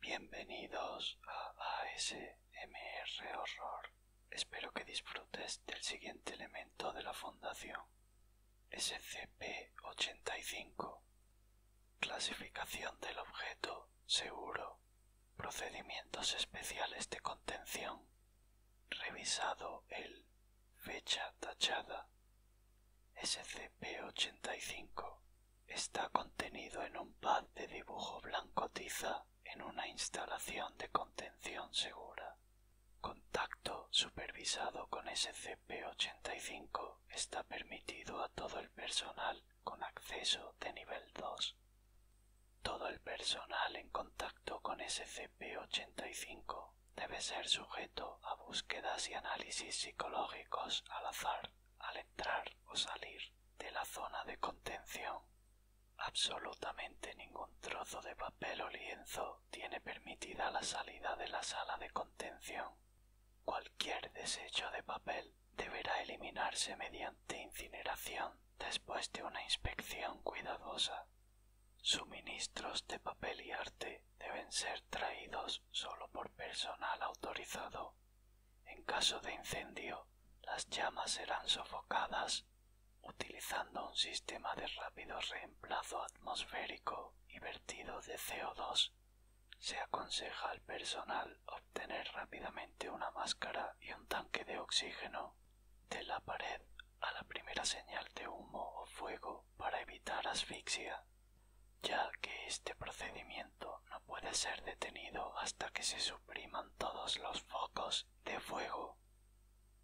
Bienvenidos a ASMR Horror. Espero que disfrutes del siguiente elemento de la Fundación. SCP-85. Clasificación del objeto seguro. Procedimientos especiales de contención. Revisado el fecha tachada SCP-85 está contenido en un pad de dibujo blanco tiza en una instalación de contención segura. Contacto supervisado con SCP-85 está permitido a todo el personal con acceso de nivel 2. Todo el personal en contacto con SCP-85 debe ser sujeto a búsquedas y análisis psicológicos al azar al entrar o salir de la zona de contención. Absolutamente ningún trozo de papel o lienzo tiene permitida la salida de la sala de contención. Cualquier desecho de papel deberá eliminarse mediante incineración después de una inspección cuidadosa. Suministros de papel y arte deben ser traídos sólo por personal autorizado. En caso de incendio, las llamas serán sofocadas utilizando un sistema de rápido reemplazo atmosférico y vertido de CO2. Se aconseja al personal obtener rápidamente una máscara y un tanque de oxígeno de la pared a la primera señal de humo o fuego para evitar asfixia, ya que este procedimiento no puede ser detenido hasta que se supriman todos los focos de fuego.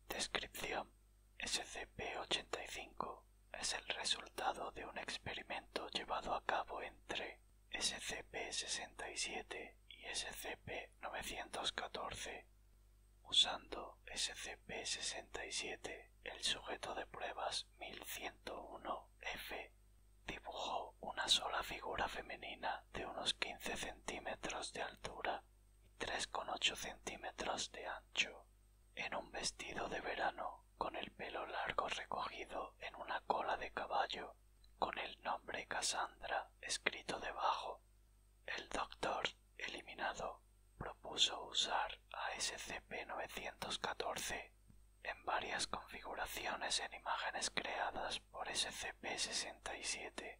Descripción SCP-85 es el resultado de un experimento llevado a cabo entre SCP-67 y SCP-914 usando SCP-67, el sujeto de pruebas 1101F dibujó una sola figura femenina de unos quince centímetros de altura y tres con ocho centímetros de ancho, en un vestido de verano con el pelo largo recogido en una cola de caballo, con el nombre Cassandra escrito debajo. El doctor eliminado, propuso usar a SCP-914 en varias configuraciones en imágenes creadas por SCP-67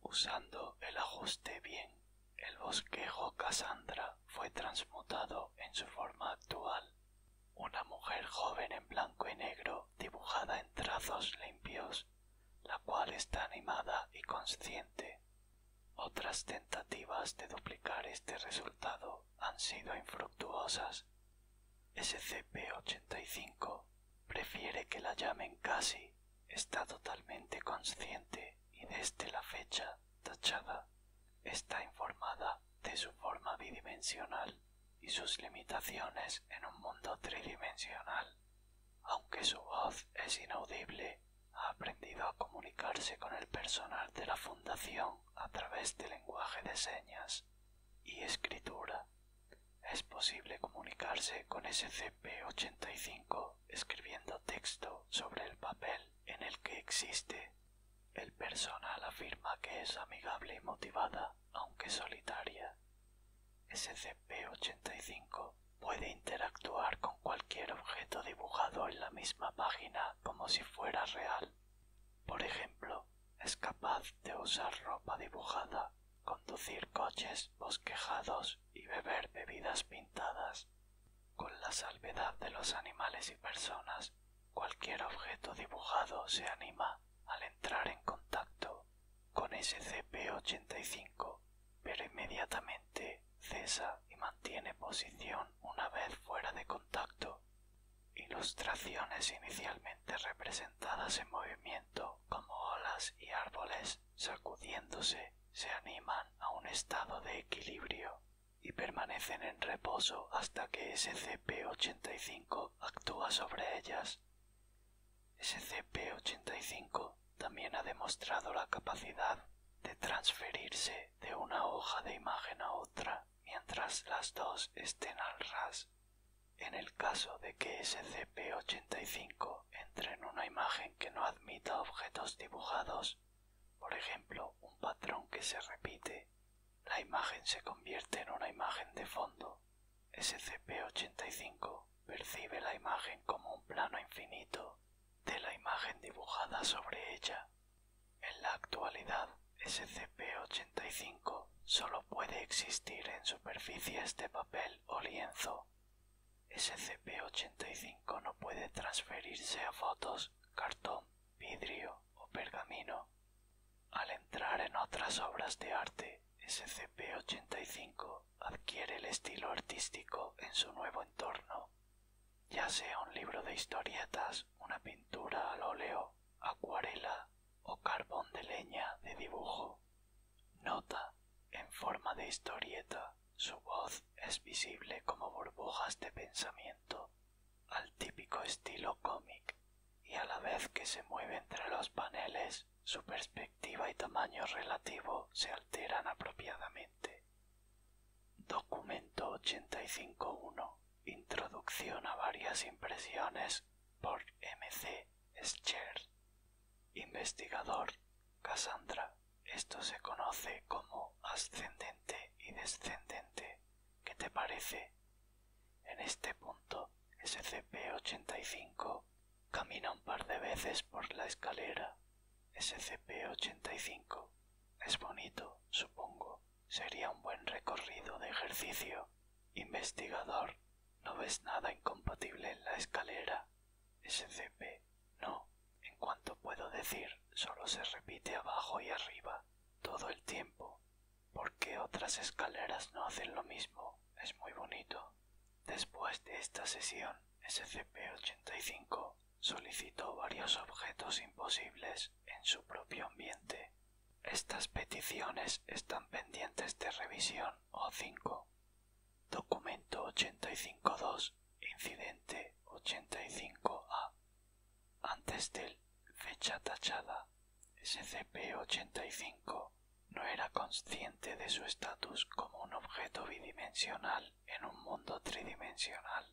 usando el ajuste bien. El bosquejo Cassandra fue transmutado en su forma actual. Una mujer joven en blanco y negro dibujada en trazos limpios la cual está animada y consciente. Otras tentativas de duplicar este resultado han sido infructuosas. SCP-85 prefiere que la llamen casi, está totalmente consciente y desde la fecha tachada está informada de su forma bidimensional y sus limitaciones en un mundo tridimensional. Aunque su voz es inaudible, ha aprendido a comunicarse con el personal de la fundación a través del lenguaje de señas y escritura. Es posible comunicarse con SCP-85 escribiendo texto sobre el papel en el que existe. El personal afirma que es amigable y motivada, aunque solitaria. SCP-85 puede interactuar con cualquier objeto dibujado en la misma página como si fuera real. Por ejemplo, es capaz de usar ropa dibujada, conducir coches bosquejados y beber bebidas pintadas. Con la salvedad de los animales y personas, cualquier objeto dibujado se anima al entrar en contacto con SCP-85, pero inmediatamente cesa y mantiene posición una vez fuera de contacto. Ilustraciones inicialmente representadas en movimiento como olas y árboles sacudiéndose se animan a un estado de equilibrio y permanecen en reposo hasta que SCP-85 actúa sobre ellas. SCP-85 también ha demostrado la capacidad de transferirse de una hoja de imagen a otra mientras las dos estén al ras. En el caso de que SCP-85 entre en una imagen que no admita objetos dibujados, por ejemplo un patrón que se repite, la imagen se convierte en una imagen de fondo. SCP-85 percibe la imagen como un plano infinito de la imagen dibujada sobre ella. En la actualidad, SCP-85 solo puede existir en superficies de este papel o lienzo. SCP-85 no puede transferirse a fotos, cartón, vidrio o pergamino. Al entrar en otras obras de arte, SCP-85 adquiere el estilo artístico en su nuevo entorno, ya sea un libro de historietas, una pintura al óleo, acuarela o carbón de leña de dibujo. Nota, en forma de historieta, su voz es visible como burbujas de pensamiento, al típico estilo cómic, y a la vez que se mueve entre los paneles, su perspectiva y tamaño relativo se alteran apropiadamente. Documento 85.1. Introducción a varias impresiones por M.C. Scher. Investigador. Cassandra. Esto se conoce como ascendente y descendente. ¿Qué te parece? En este punto, SCP-85 Camina un par de veces por la escalera. SCP-85. Es bonito, supongo. Sería un buen recorrido de ejercicio. Investigador. No ves nada incompatible en la escalera. SCP. No. En cuanto puedo decir, solo se repite abajo y arriba. Todo el tiempo. ¿Por qué otras escaleras no hacen lo mismo? Es muy bonito. Después de esta sesión, SCP-85 solicitó varios objetos imposibles en su propio ambiente. Estas peticiones están pendientes de revisión O5. Documento 85.2, incidente 85A. Antes del fecha tachada, SCP-85 no era consciente de su estatus como un objeto bidimensional en un mundo tridimensional.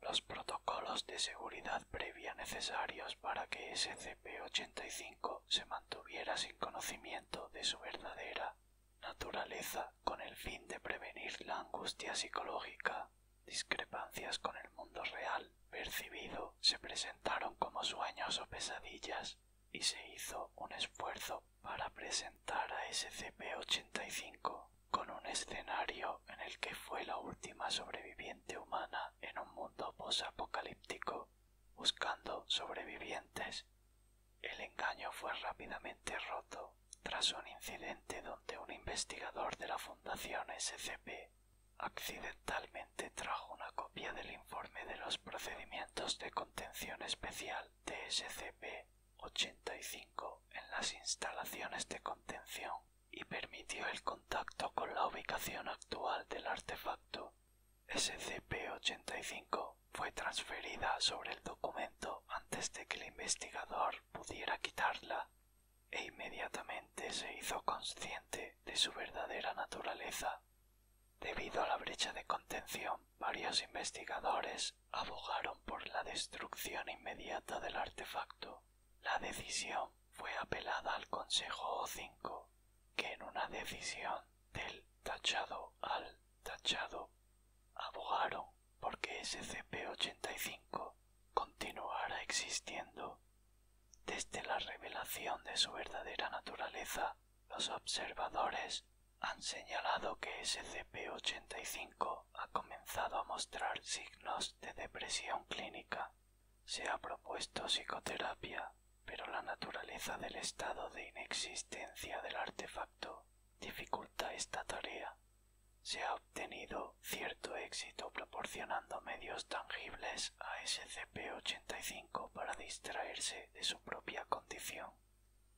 Los protocolos de seguridad previa necesarios para que SCP-85 se mantuviera sin conocimiento de su verdadera naturaleza con el fin de prevenir la angustia psicológica, discrepancias con el mundo real percibido se presentaron como sueños o pesadillas y se hizo un esfuerzo para presentar a SCP-85 con un escenario en el que fue la última sobreviviente humana en un mundo post-apocalíptico, buscando sobrevivientes. El engaño fue rápidamente roto tras un incidente donde un investigador de la Fundación SCP accidentalmente trajo una copia del informe de los procedimientos de contención especial de SCP 85 en las instalaciones de contención y permitió el contacto con la ubicación actual del artefacto. SCP-85 fue transferida sobre el documento antes de que el investigador pudiera quitarla e inmediatamente se hizo consciente de su verdadera naturaleza. Debido a la brecha de contención, varios investigadores abogaron por la destrucción inmediata del artefacto. La decisión fue apelada al Consejo O5, que en una decisión del tachado al tachado abogaron porque SCP-85 continuara existiendo. Desde la revelación de su verdadera naturaleza, los observadores han señalado que SCP-85 ha comenzado a mostrar signos de depresión clínica. Se ha propuesto psicoterapia, pero la naturaleza del estado de inexistencia del artefacto dificulta esta tarea. Se ha obtenido cierto éxito proporcionando medios tangibles a SCP-85 para distraerse de su propia condición.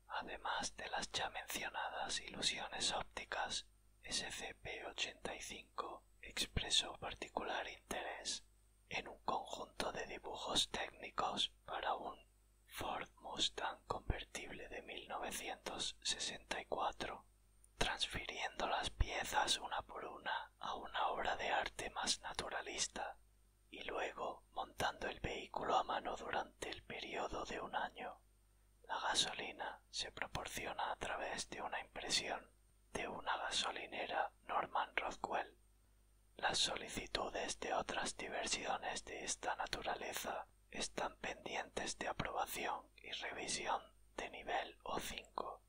Además de las ya mencionadas ilusiones ópticas SCP-85 expresó particular interés en un conjunto de dibujos técnicos para un Ford Mustang convertible de 1964, transfiriendo las piezas una por una a una obra de arte más naturalista y luego montando el vehículo a mano durante el periodo de un año. La gasolina se proporciona a través de una impresión de una gasolinera Norman Rothwell. Las solicitudes de otras diversiones de esta naturaleza están pendientes de aprobación y revisión de nivel O5.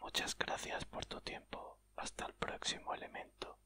Muchas gracias por tu tiempo. Hasta el próximo elemento.